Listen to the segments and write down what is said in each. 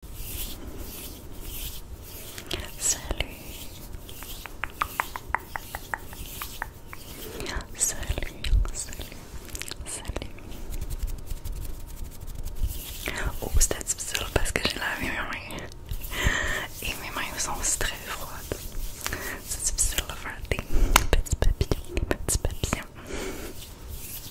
Salut. Salut, salut, salut. Oh, c'était difficile parce que j'ai lavé mes mains. Et mes mains sont aussi très froides. C'est difficile de faire des petits papillons, des petits papillons.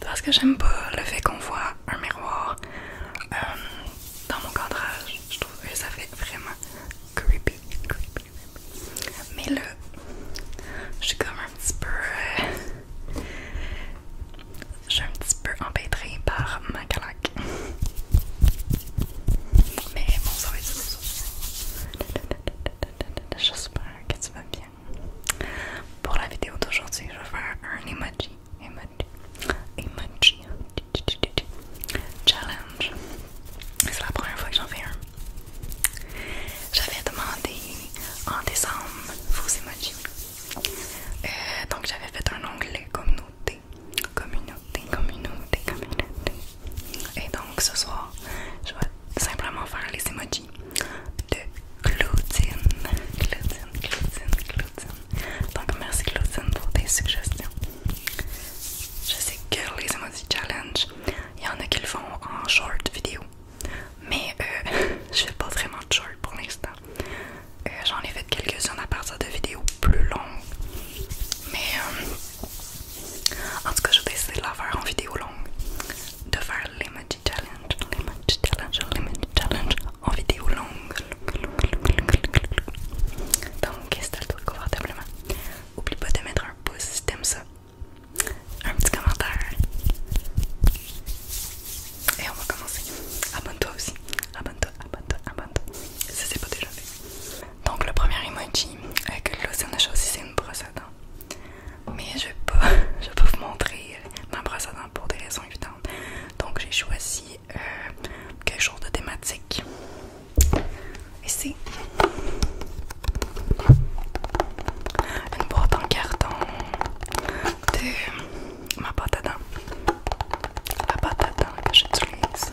parce que j'aime pas le fait qu'on voit un miroir euh, dans mon cadrage. Je trouve que ça fait vraiment creepy. creepy. Mais là, je suis comme un petit peu. Euh, je suis un petit peu empêtrée par ma calaque. Mais bon, ça va être Je J'espère que tu vas bien. Pour la vidéo d'aujourd'hui, je vais faire un emoji. Challenge. C'est la première fois que j'en fais un. J'avais demandé en décembre vos emojis. Euh, donc j'avais fait un onglet communauté. Communauté, communauté, communauté. Et donc ce soir, je vais simplement faire les emojis de Claudine. Donc merci Claudine pour tes suggestions. Je sais que les Emoji challenge, il y en a qui le font en short vidéo. Mais euh, je fais pas vraiment de short pour l'instant. Euh, j'en ai fait quelques-unes à partir de vidéos plus longues. Mais euh, en tout cas, je vais essayer de la faire en vidéo longue. De faire Limit Challenge, Limit Challenge, Limit Challenge en vidéo longue. Donc, installe-toi confortablement. Oublie pas de mettre un pouce si t'aimes ça. Un petit commentaire. Et on va commencer. Abonne-toi aussi. Abonne-toi, abonne-toi, abonne-toi. Si c'est pas déjà fait. Donc, le premier emoji euh, que on a choisi, c'est une brosse à dents. Mais je peux, je vais vous montrer euh, ma brosse à dents pour des raisons évidentes. Donc j'ai choisi euh, quelque chose de thématique. Et c'est une boîte en carton de ma pâte à dents. La pâte à dents que j'utilise.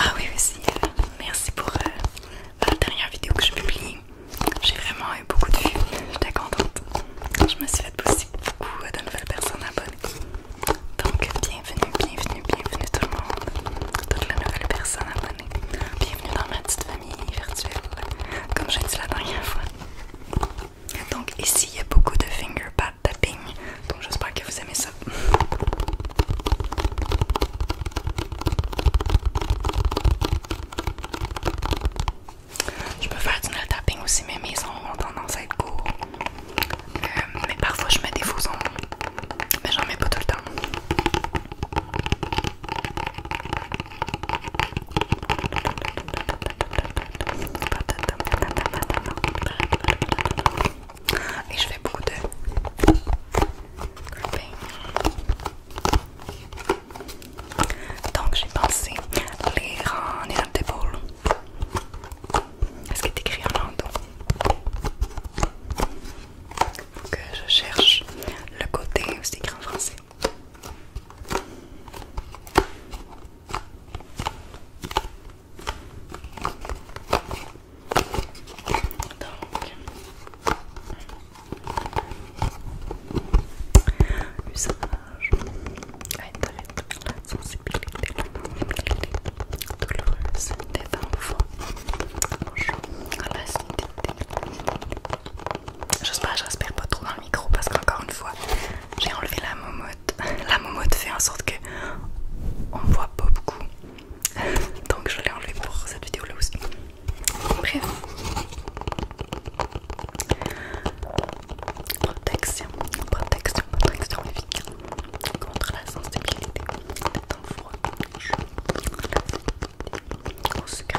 Ah oui aussi, merci pour euh, la dernière vidéo que je publie. J'ai vraiment eu beaucoup de vues, j'étais contente. Je me suis fait pousser beaucoup de nouvelles personnes abonnées. Donc bienvenue, bienvenue, bienvenue tout le monde. Toutes les nouvelles personnes abonnées. Bienvenue dans ma petite famille virtuelle, comme j'ai dit la dernière fois. Donc ici il y a beaucoup de finger pad tapping, donc j'espère que vous aimez ça. Je peux faire du tapping aussi, mais mes ongles ont tendance à être courts. Euh, mais parfois je mets des faux mais j'en mets pas tout le temps. Et je fais beaucoup de Donc j'ai pensé les en étape Est-ce qu'il est écrit en rando? Que je cherche le côté, c'est écrit en français. Donc, usage à être sensibilité, douloureuse des enfants. Bonjour à la je respire pas trop dans le micro parce qu'encore une fois, j'ai enlevé la momo la momote fait en sorte qu'on ne voit pas beaucoup. Donc je l'ai enlevé pour cette vidéo là aussi. Bref. Protection, protection, protection efficace contre la sensibilité temps au secret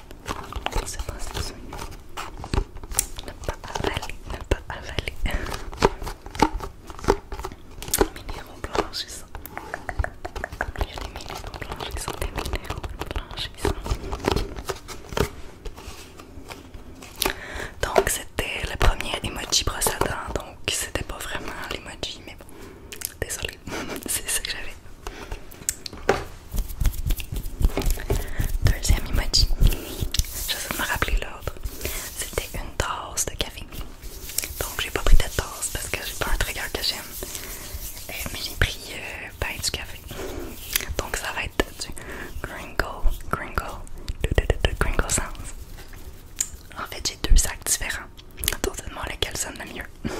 c'est Ne pas avaler, ne pas avaler. minéraux blanchissants. ils a minéraux blanchissants, des minéraux Donc c'était le premier emoji brosse donc c'était pas vraiment l'emoji, mais bon. Désolée, c'est ça que j'avais. Deuxième emoji. J'essaie de me rappeler l'autre. C'était une tasse de café. Donc j'ai pas pris de tasse parce que j'ai pas un trigger que j'aime. Euh, mais j'ai pris un euh, ben, du café. Donc ça va être du Gringo, Gringo, Gringo Sounds. En fait j'ai deux sacs différents. demander lequel sonne le mieux.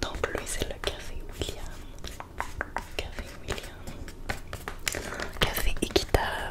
Donc lui c'est le café William. Café William. Café équitable.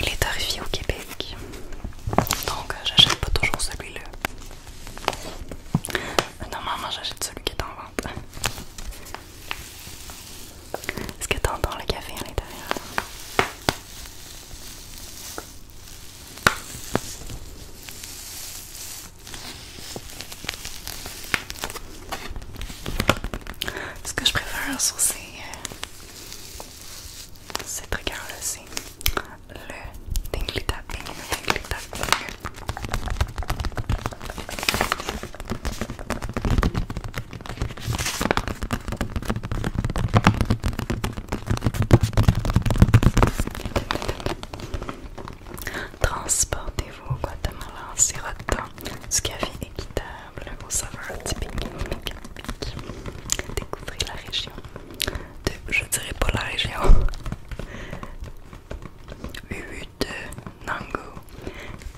Il est arrivé au Québec. Donc euh, j'achète pas toujours celui-là. Normalement j'achète celui qui est en vente. Est-ce que t'entends le café à l'intérieur? Ce que je préfère un cette rigueur là c'est le tingly tapping, le tingly tapping. Transportez-vous au Guatemala en sirotant du café équitable aux saveurs typiques Découvrez la région. De, je dirais pas la région. de Nango,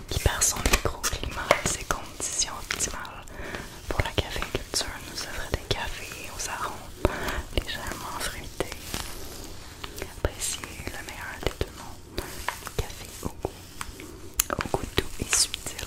qui par son microclimat et ses conditions optimales pour la café caféiculture nous offre des cafés aux arômes légèrement fruités. Appréciez le meilleur des deux mondes, café au goût, au goût doux et subtil.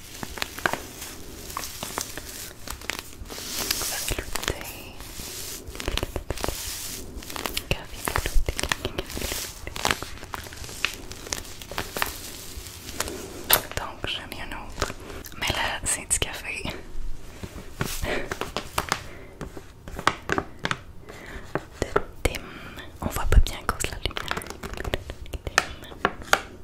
Café clouté. Café clouté. Donc j'en ai un autre. Mais là, c'est du café. De Tim. On voit pas bien à cause de la lumière.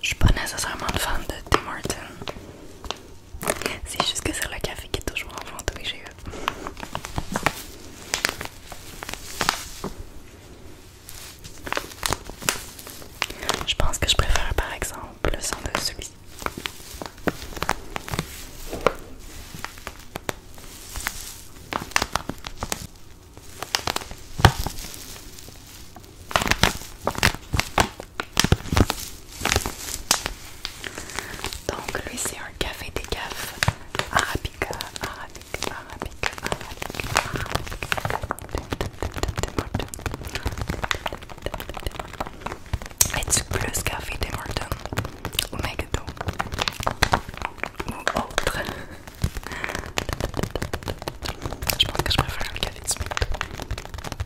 Je suis pas nécessairement fan de Tim Martin. C'est juste que c'est le café qui est toujours en vente, oui, j'ai eu. Je pense que je préfère par exemple le son de celui donc lui c'est un café des cafes arabica, arabica, arabica, arabica, arabica. Es-tu plus café Morton ou ou autre? Je pense que je préfère le café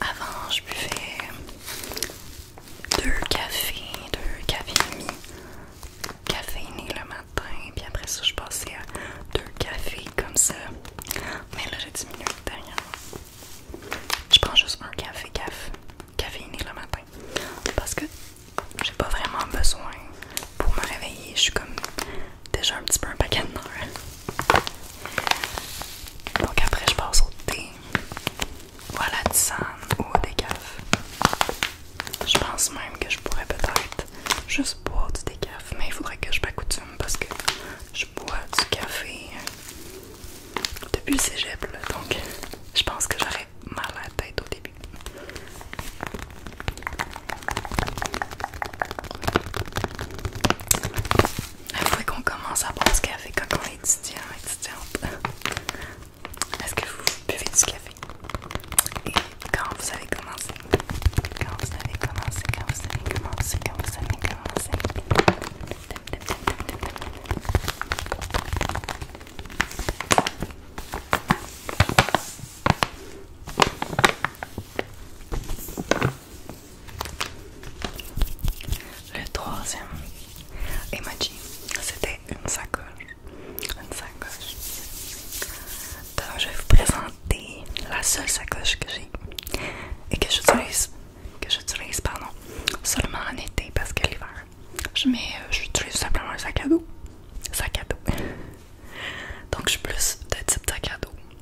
Avant, je buvais deux cafés, deux cafés et demi le matin, puis après ça, je passais à deux cafés comme ça. Mais là, j'ai diminué derrière. Hein. Je prends juste un café café caféiné le matin parce que j'ai pas vraiment besoin pour me réveiller. Je suis comme déjà un petit peu un paquet de Donc après, je passe au thé ou à la tisane ou au décaf. Je pense même que je pourrais peut-être juste boire du décaf, mais il faudrait que je m'accoutume parce que je bois du café depuis le cégep, donc je pense que j'aurais mal à la tête au début faut qu'on commence à boire ce café quand on est étudiant, etc. Est-ce que vous buvez du café? Et quand vous avez commencé? Quand vous avez commencé, quand vous avez commencé, quand vous avez commencé. Le troisième emoji, c'était une sacoche. Une sacoche. Donc je vais vous présenter la seule sacoche que j'ai et que j'utilise que j'utilise pardon seulement en été parce qu'à l'hiver je mets euh, j'utilise simplement un sac à dos sac à dos donc je suis plus de type sac à dos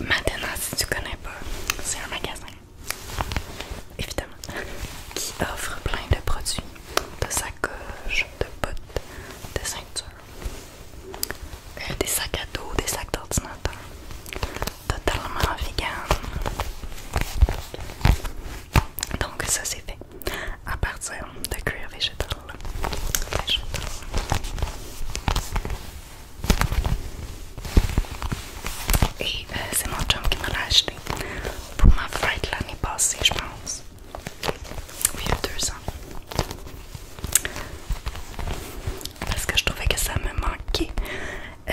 Maintenant, si tu connais pas, c'est un magasin, évidemment, qui offre plein de produits, de sacoches, de bottes, de ceintures, euh, des sacs à dos, des sacs d'ordinateur, totalement vegan. Donc ça c'est fait à partir de cuir végétal. Et euh, c'est mon chum qui me l'a acheté pour ma fête l'année passée, je pense. il y a deux ans. Parce que je trouvais que ça me manquait euh,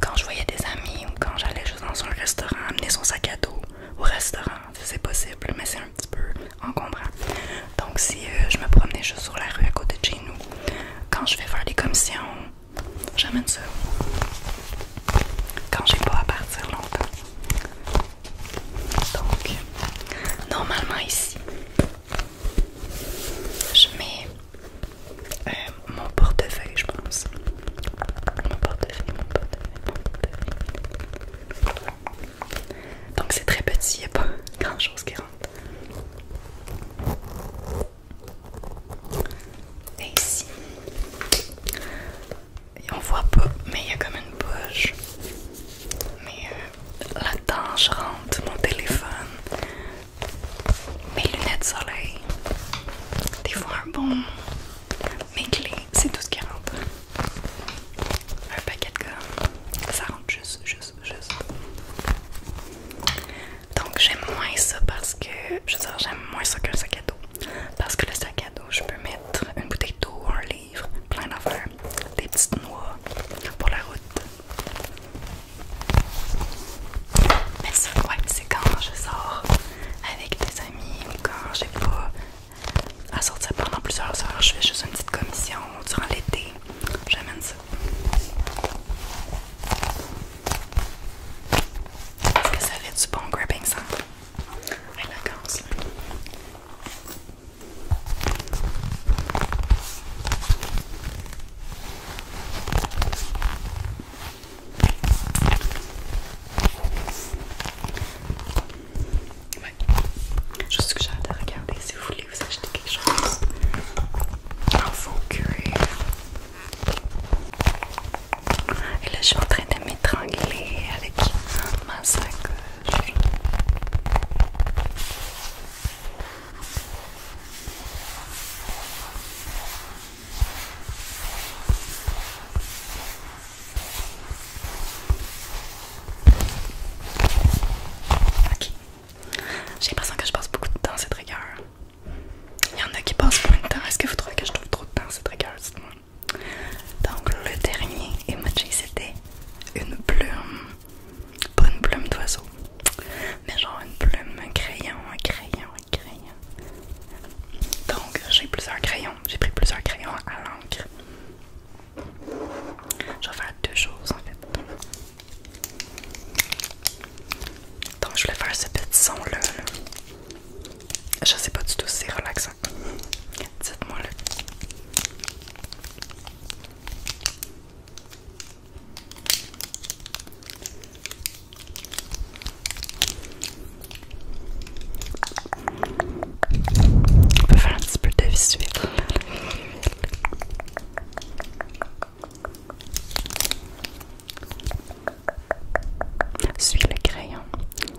quand je voyais des amis ou quand j'allais juste dans un restaurant, amener son sac à dos au restaurant, c'est possible, mais c'est un petit peu encombrant. Donc si euh, je me promenais juste sur la rue à côté de chez nous, quand je vais faire des commissions, j'amène ça. Quand j'ai pas à partir longtemps. Donc, normalement ici, je mets euh, mon portefeuille, je pense. Mon portefeuille, mon portefeuille, mon portefeuille. Donc c'est très petit, il n'y a pas grand chose qui rentre. Et ici, on voit pas, mais il y a comme une poche. Mais euh, la tange rentre mon téléphone, mes lunettes soleil, des fois un bon, mes clés, c'est tout ce qui rentre. Un paquet de gomme, ça rentre juste, juste, juste. Donc j'aime moins ça parce que, je veux dire, j'aime moins ça qu'un sac à dos. Parce que le sac à dos, je peux mettre une bouteille d'eau, un livre, plein d'affaires, des petites noix pour la route. Mais ça, ouais, c'est quand je sors avec des amis ou quand j'ai pas à sortir pendant plusieurs heures, je fais juste une petite commission durant l'été. J'amène ça. Est-ce que ça fait du bon gripping ça Ouais, la oui, sais que j'ai hâte de regarder si vous voulez vous acheter quelque chose. Un faux curé. Et là, je suis en train de m'étrangler avec ma sacoche. Ok. J'ai l'impression que je passe beaucoup de temps à cette rigueur. Il y en a qui passent moins de temps. Est-ce que vous trouvez que je trouve trop de temps à cette rigueur? Dites-moi. Donc, le dernier emoji, c'était une plume. une plume d'oiseau mais genre une plume, un crayon, un crayon, un crayon. Donc j'ai plusieurs crayons, j'ai pris plusieurs crayons à l'encre. Je vais faire deux choses en fait. Donc je voulais faire ce petit son là. Je sais pas du tout si c'est relaxant. Dites-moi là. On peut faire un petit peu de Suis le crayon,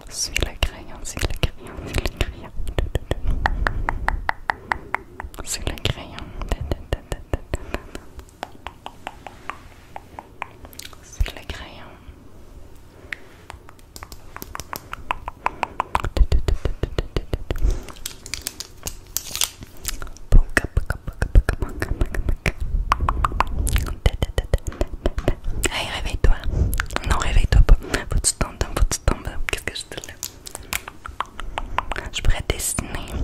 suis le crayon, suis le crayon, suis le crayon. Suis le crayon. C'est le crayon. Hey, réveille-toi. Non, réveille-toi pas. Faut te faut Qu'est-ce que je te là? Je dessiner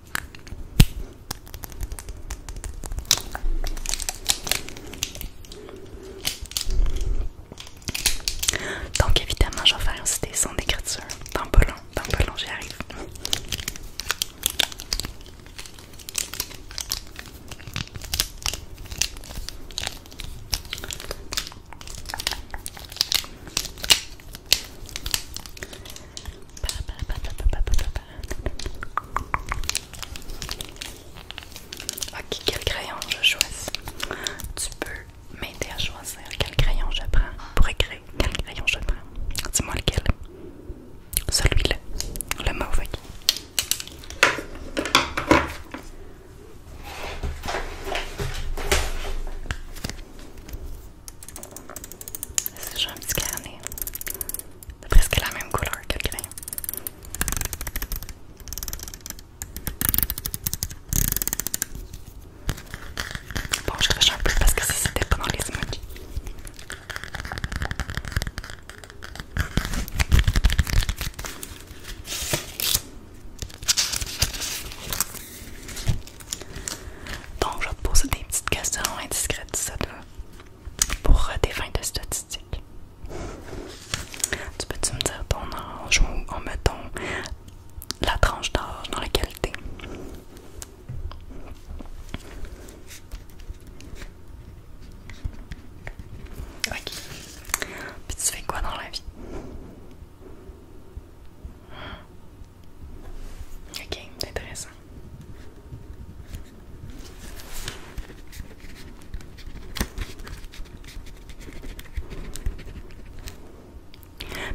donc évidemment, j'en ferai faire aussi des sons d'écriture. Dans long, long, j'y arrive. Ok, quel crayon je choisis? Tu peux m'aider à choisir quel crayon je prends pour écrire. Quel crayon je prends? Dis-moi lequel? Celui-là, le mauvais. C'est toujours un petit carnet. C'est presque la même couleur que le crayon. Bon, je crache un peu parce que ça c'était pas les emojis. Donc, je vais te poser des petites questions indiscrètes, ça te pour des euh, fins de statistiques. Tu peux-tu me dire ton âge ou, en mettant la tranche d'âge dans laquelle t'es? Ok. Puis tu fais quoi dans la vie? Ok, intéressant.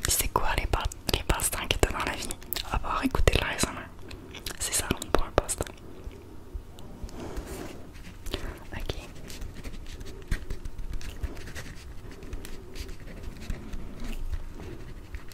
Puis c'est quoi les, les passe-temps dans la vie? À écoutez écouter de C'est ça, on pour un poste. Ok.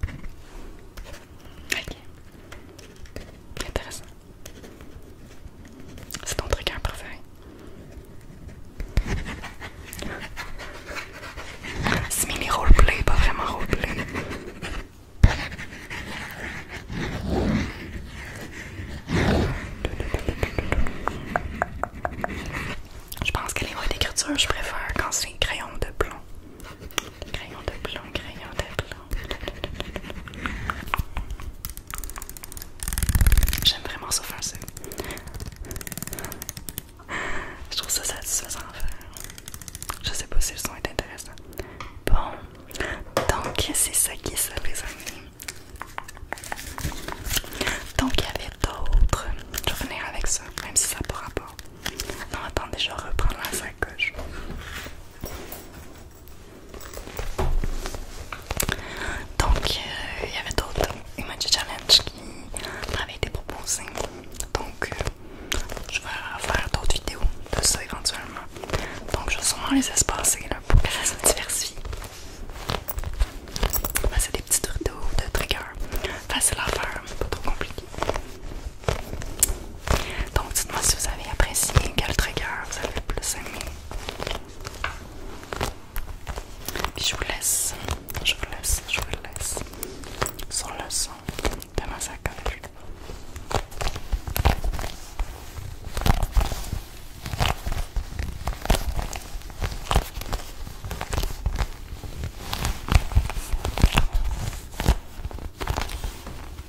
Ok. Intéressant. C'est ton truc hein, préféré. C'est mini roleplay, pas vraiment roleplay. Je pense que les mots d'écriture, je préfère quand c'est crayon de plomb. Crayon de plomb, crayon de plomb. J'aime vraiment ça faire Je trouve ça satisfaisant à faire. Je sais pas si le son est intéressant. Bon, donc c'est ça qui est ça, les amis. Donc il y avait d'autres. Je vais revenir avec ça, même si ça pourra pas Non, attendez, je reprends reprendre la sacoche. Donc euh, il y avait d'autres emoji challenge qui avaient été proposés. Donc euh, je vais faire d'autres vidéos de ça éventuellement. Donc je vais sûrement les espacer pour ça se diversifie. C'est des petits rideaux de trigger. Facile à faire, pas trop compliqué. Donc dites-moi si vous avez apprécié, quel trigger vous avez le plus aimé. je vous laisse, je vous laisse, je vous laisse sans le son de ma sacoche.